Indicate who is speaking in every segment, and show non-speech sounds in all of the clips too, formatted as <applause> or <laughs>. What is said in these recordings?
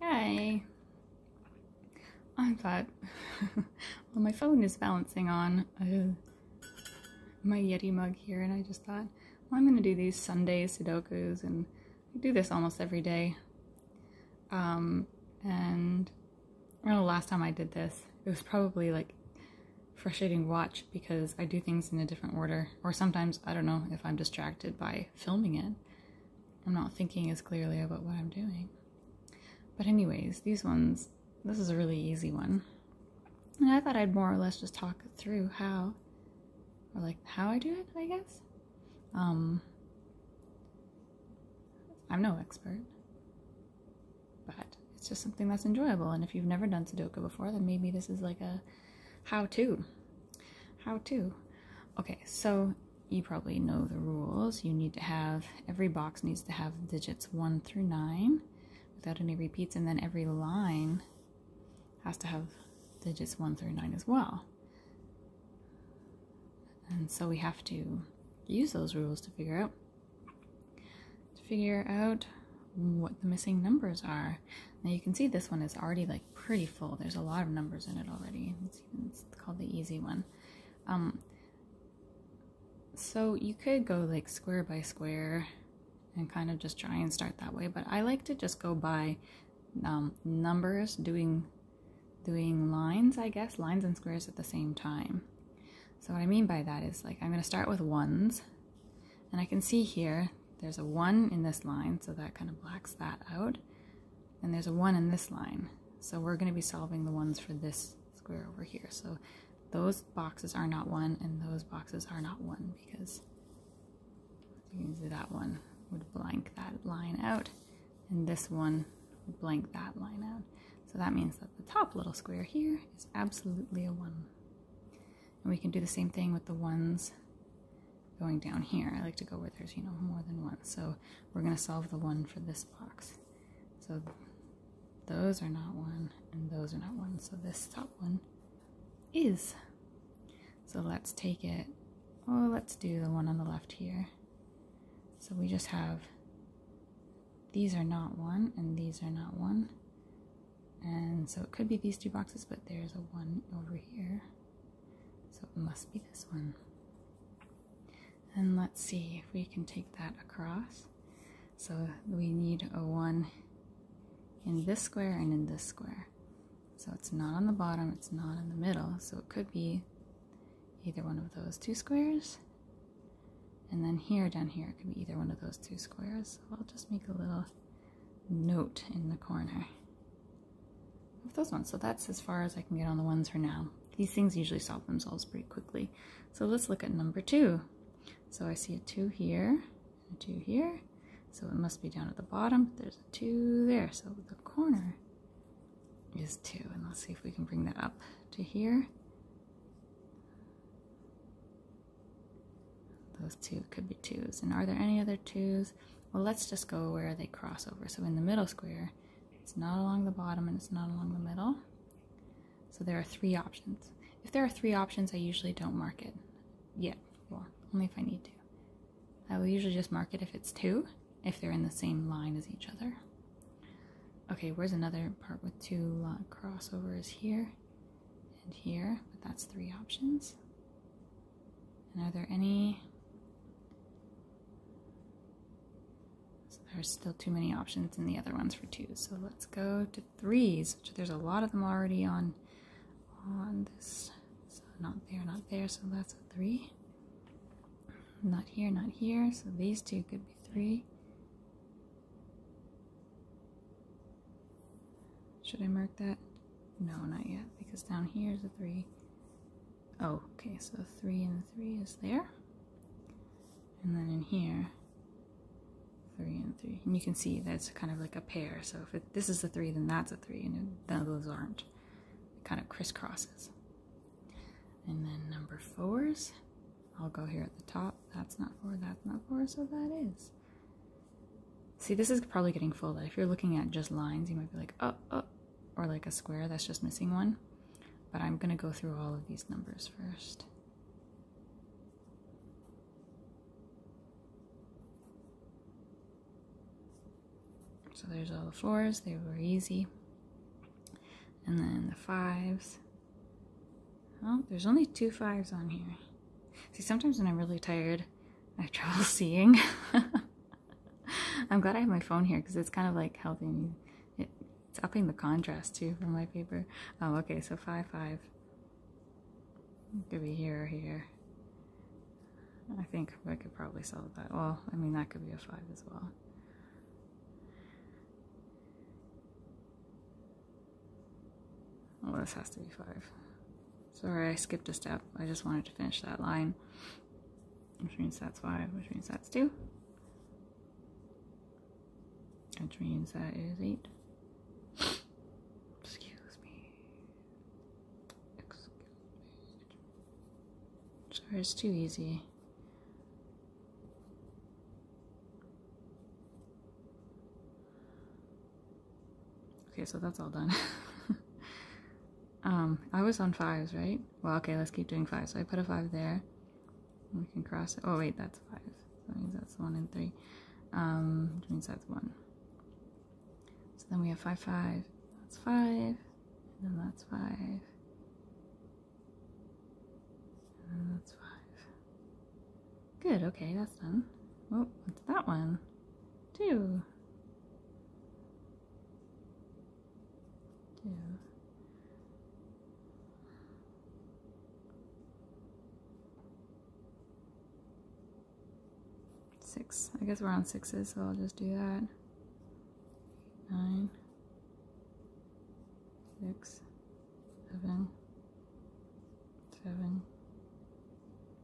Speaker 1: Hey, I thought, <laughs> well, my phone is balancing on my Yeti mug here, and I just thought, well, I'm going to do these Sunday Sudokus, and I do this almost every day. Um, and I know the last time I did this, it was probably like frustrating watch because I do things in a different order, or sometimes I don't know if I'm distracted by filming it. I'm not thinking as clearly about what I'm doing. But, anyways, these ones, this is a really easy one. And I thought I'd more or less just talk through how, or like how I do it, I guess. Um, I'm no expert, but it's just something that's enjoyable. And if you've never done Sudoku before, then maybe this is like a how to how to okay so you probably know the rules you need to have every box needs to have digits 1 through 9 without any repeats and then every line has to have digits 1 through 9 as well and so we have to use those rules to figure out to figure out what the missing numbers are now you can see this one is already like pretty full. There's a lot of numbers in it already. It's, called the easy one. Um, so you could go like square by square and kind of just try and start that way. But I like to just go by um, numbers, doing doing lines, I guess, lines and squares at the same time. So what I mean by that is like I'm going to start with ones, and I can see here there's a 1 in this line, so that kind of blacks that out. And there's a 1 in this line. So we're going to be solving the ones for this square over here. So those boxes are not 1, and those boxes are not 1 because you can see that one would blank that line out, and this one would blank that line out. So that means that the top little square here is absolutely a 1. And we can do the same thing with the ones going down here. I like to go where there's, you know, more than one. So we're going to solve the one for this box. So those are not one, and those are not one. So this top one is. So let's take it. Oh, let's do the one on the left here. So we just have these are not one, and these are not one. And so it could be these two boxes, but there's a one over here. So it must be this one. And let's see if we can take that across. So we need a 1 in this square and in this square. So it's not on the bottom, it's not in the middle, so it could be either one of those two squares. And then here, down here, it could be either one of those two squares. So I'll just make a little note in the corner with those ones. So that's as far as I can get on the ones for now. These things usually solve themselves pretty quickly. So let's look at number two. So I see a two here, a two here. So it must be down at the bottom. There's a two there. So the corner is two. And let's see if we can bring that up to here. Those two could be twos. And are there any other twos? Well, let's just go where they cross over. So in the middle square, it's not along the bottom and it's not along the middle. So there are three options. If there are three options, I usually don't mark it Yeah, Well, only if I need to. I will usually just mark it if it's two, if they're in the same line as each other. Okay, where's another part with two uh, crossovers here and here? But that's three options. And are there any? So there's still too many options in the other ones for twos. So let's go to threes, which there's a lot of them already on on this. So not there, not there. So that's a three. Not here, not here. So these two could be three. Should I mark that? No, not yet, because down here is a 3. Oh, okay, so 3 and 3 is there. And then in here, 3 and 3. And you can see that's kind of like a pair. So if this is a 3, then that's a 3, and none of those aren't. It kind of crisscrosses. And then number 4s. I'll go here at the top. That's not 4, that's not 4, so that is. See, this is probably getting full. If you're looking at just lines, you might be like, oh, oh, or like a square that's just missing one. But I'm going to go through all of these numbers first. So there's all the fours, they were easy. And then the fives. Oh, there's only two fives on here. See, sometimes when I'm really tired, I have trouble seeing. I'm glad I have my phone here because it's kind of like helping it, it's upping the contrast too for my paper. Oh, okay, so five five. It could be here or here. I think I could probably solve that. Well, I mean that could be a five as well. Oh, this has to be five. Sorry, I skipped a step. I just wanted to finish that line. Which means that's five, which means that's two. Which means that is eight. Excuse me. Sorry, it's too easy. Okay, so that's all done. <laughs> um, I was on fives, right? Well, okay, let's keep doing fives. So I put a five there. We can cross it. Oh, wait, that's five. That means that's one and three. Um, which means that's one. So then we have five, five. That's five. then that's five. And then that's five. Good, okay, that's done. Oh, what's that one? Two. Two. Six. I guess we're on sixes, so I'll just do that. Nine. Six. Seven. Seven.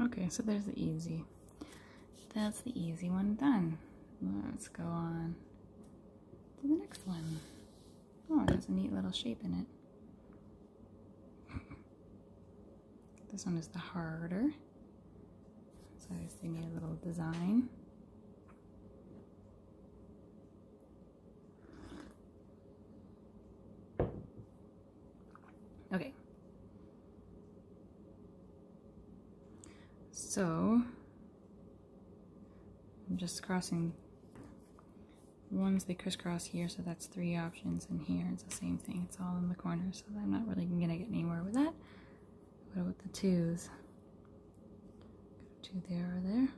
Speaker 1: Okay, so there's the easy. That's the easy one done. Let's go on to the next one. Oh, it has a neat little shape in it. <laughs> This one is the harder. So I just did a little design. Okay. So I'm just crossing ones they crisscross here so that's three options and here it's the same thing it's all in the corner so I'm not really gonna get anywhere with that what about the twos? Two there or there.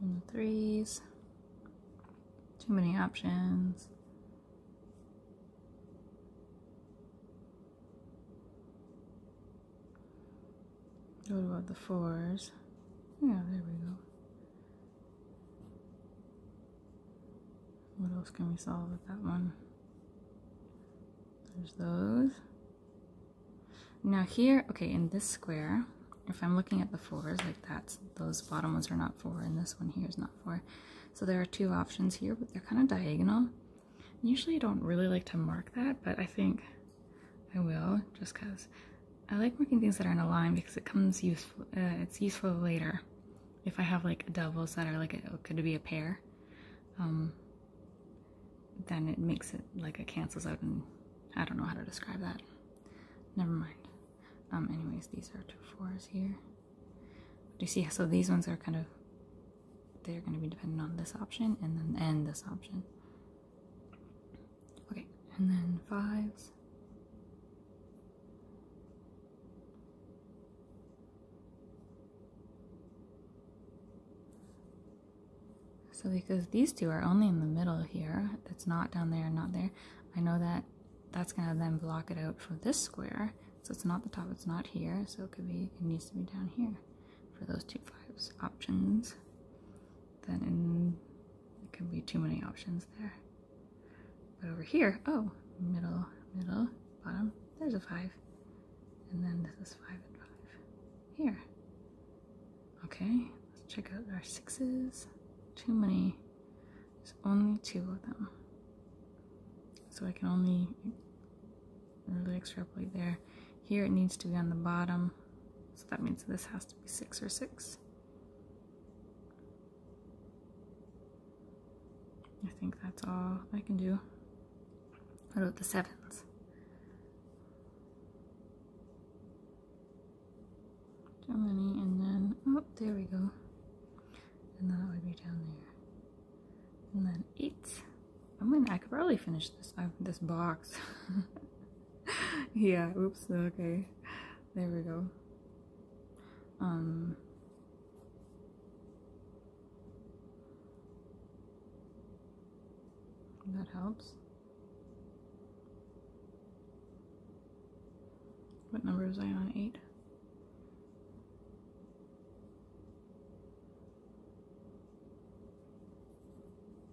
Speaker 1: And the threes. Too many options. What about the fours? Yeah, there we go. What else can we solve with that one? There's those. Now here, okay, in this square, if I'm looking at the fours, like that's, those bottom ones are not four and this one here is not four. So there are two options here, but they're kind of diagonal. Usually I don't really like to mark that, but I think I will, just because I like working things that are in a line because it comes useful. Uh, it's useful later if I have like doubles that are like a, could be a pair. Um, then it makes it like it cancels out, and I don't know how to describe that. Never mind. Um, anyways, these are two fours here. Do you see? So these ones are kind of they're going to be dependent on this option and then and this option. Okay, and then fives. So because these two are only in the middle here, that's not down there not there, I know that that's gonna then block it out for this square. So it's not the top, it's not here, so it could be, it needs to be down here for those two fives options then it can be too many options there. But over here, oh, middle, middle, bottom, there's a five. And then this is five and five. Here. Okay, let's check out our sixes. Too many. There's only two of them. So I can only really extrapolate there. Here it needs to be on the bottom. So that means this has to be six or six. I think that's all I can do. What about the sevens? Down and then, oh, there we go. And that would be down there. And then eight. I mean, I could probably finish this, uh, this box. <laughs> yeah, oops, okay. There we go. Um that helps. What number is I on? Eight?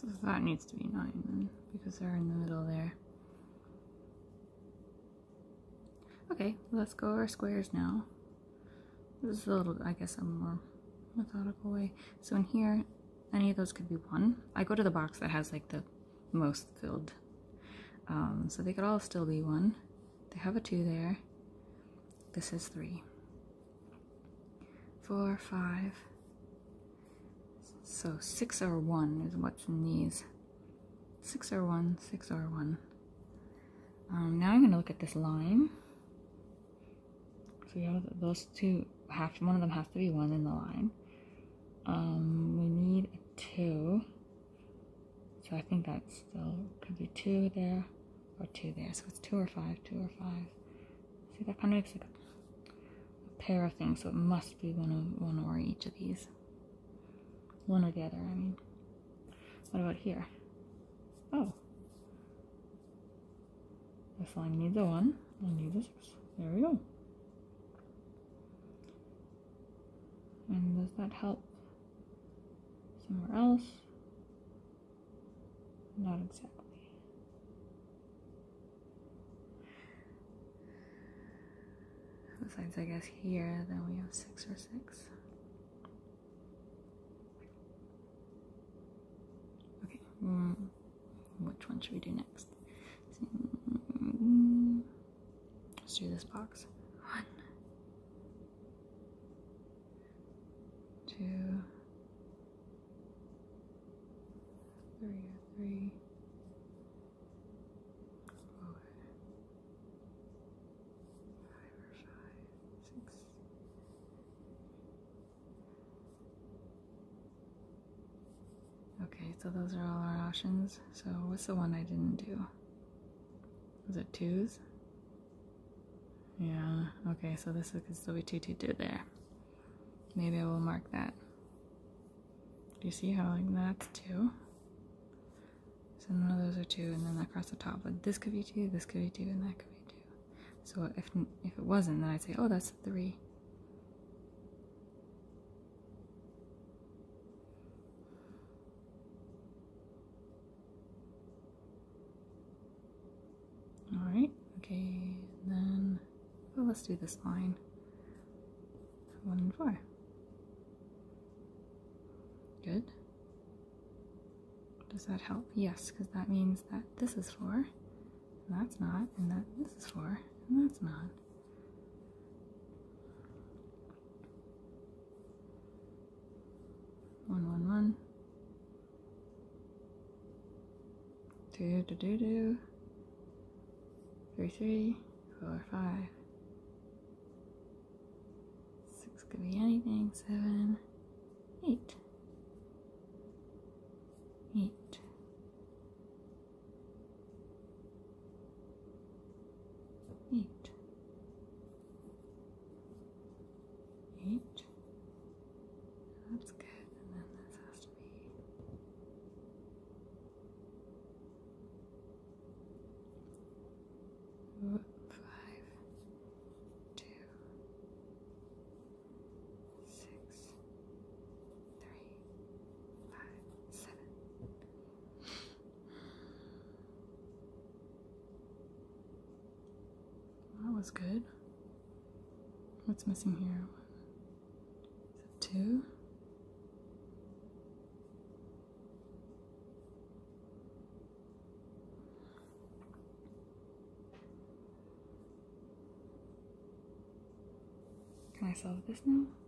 Speaker 1: So that needs to be 9 then, because they're in the middle there. Okay, let's go our squares now. This is a little, I guess, a more methodical way. So in here, any of those could be 1. I go to the box that has like the most filled. Um, so they could all still be one. They have a two there. This is three, four, five. So six or one is what's in these. Six or one, six or one. Um, now I'm going to look at this line. So yeah, those two half. one of them has to be one in the line. Um, we need two. So I think that's still could be two there or two there. So it's two or five, two or five. See, that kind of makes a, pair of things. So it must be one of one or each of these. One or the other, I mean. What about here? Oh. This line needs a one, I need a six. There we go. And does that help somewhere else? Not exactly. Besides, I guess here, then we have six or six. Okay, mm, which one should we do next? Let's do this box. One, two, three, three, four, five Okay, so those are all our options. So what's the one I didn't do? Was it twos? Yeah, okay, so this could still be 2 2 2 there. Maybe I will mark that. Do you see how like that's 2? So none of those are 2, and then across the top, like this could be 2, this could be 2, and that could be 2. So if, if it wasn't, then I'd say, oh, that's 3. All right, okay, then well, let's do this line one and four. Good. Does that help? Yes, because that means that this is four, and that's not, and that this is four, and that's not. One, one, one. Do, Three, three, four, five. Six could be anything. Seven, eight. Eight eight, eight. That's good, and then this has to be five, two, six, three, five, seven. That was good. What's missing here? Is it two? Can I solve this now?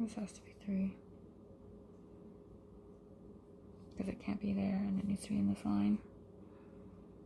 Speaker 1: This has to be three. Because it can't be there and it needs to be in this line.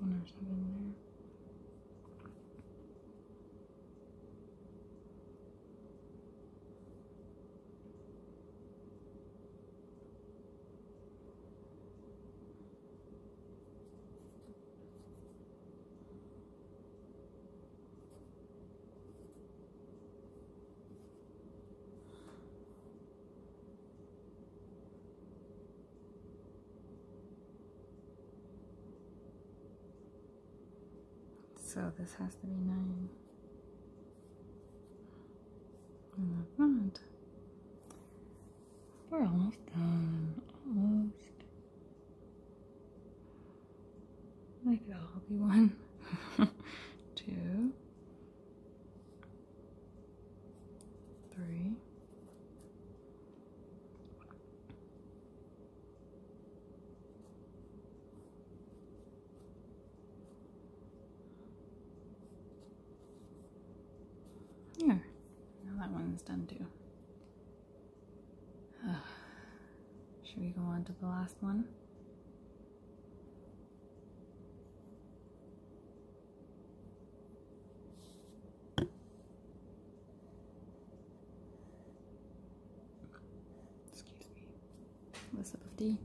Speaker 1: One or something there. So this has to be nine. In the We're almost done. Almost. They could all be one. <laughs> Two three, yeah, now that one's done too. <sighs> Should we go on to the last one? Excuse me. With a sip of tea.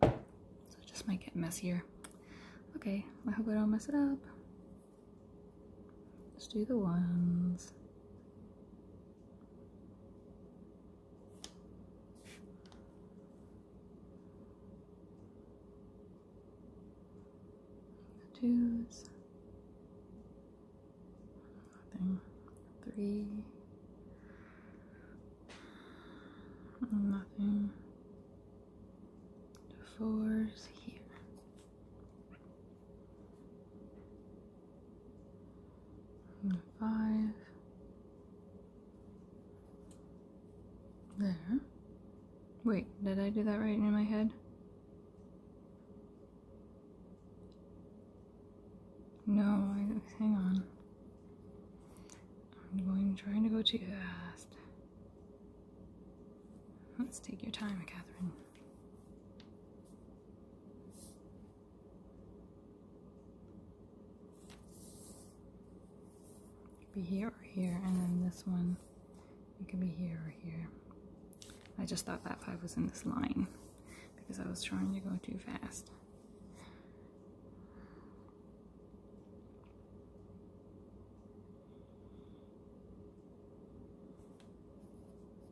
Speaker 1: So it just might get messier. Okay, I hope I don't mess it up. Let's do the ones. The twos. Nothing. Three. Nothing. The fours here five there. Wait, did I do that right in my head? No, hang on. I'm going trying to go too fast. Let's take your time, Catherine. Could be here or here, and then this one, it could be here or here. I just thought that five was in this line because I was trying to go too fast.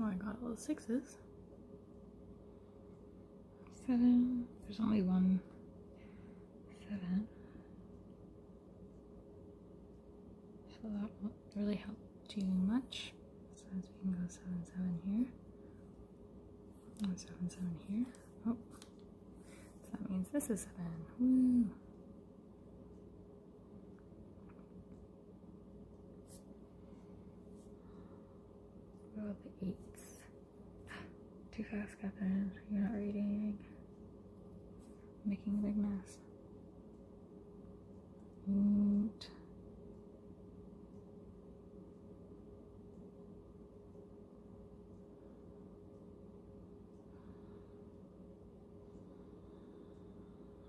Speaker 1: Oh, I got all the sixes. Seven. There's only one seven. So that won't really help too much. So we can go seven seven here. There's here. Oh, so that means this is seven. Woo! Oh, the eights. <gasps> Too fast, Catherine. You're not reading. making a big mess. Eight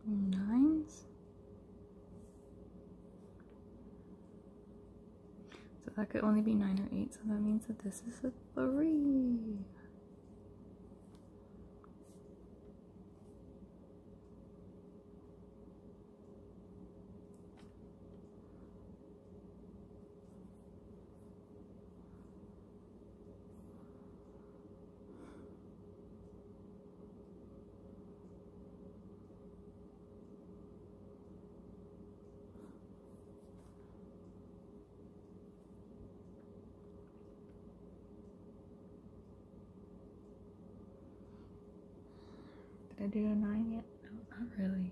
Speaker 1: nines. So that could only be nine or eight, so that means that this is a three. Did I do a nine yet? No, not really.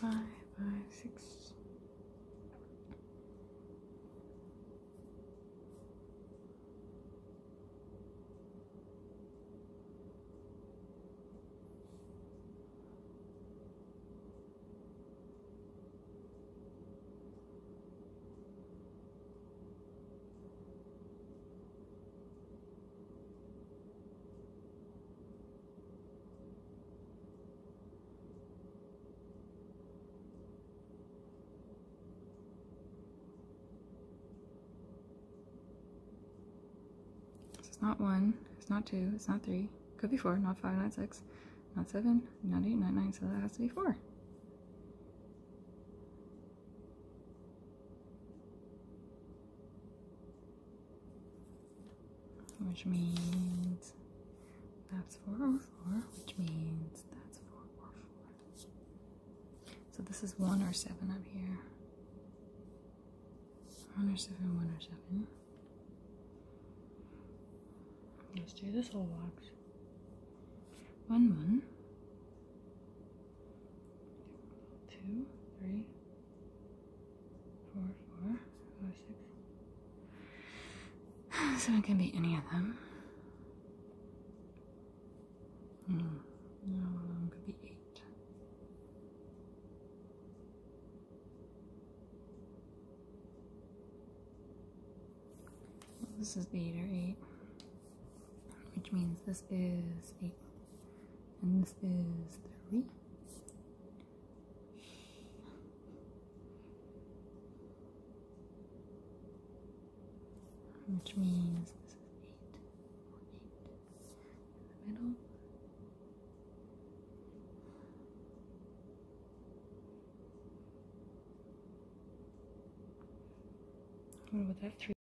Speaker 1: five, five, six. It's not one, it's not two, it's not three, could be four, not five, not six, not seven, not eight, not nine, so that has to be four which means that's 4 or 4, which means that's 4 or 4. So this is 1 or 7 up here. 1 or 7, 1 or 7. Let's do this whole box. 1, 1 two, three, four, four, five, six. <sighs> So it can be any of them. Hmm. No, one could be eight. this is the eight or eight which means this is 8 and this is 3 which means this is 8 middle what about 3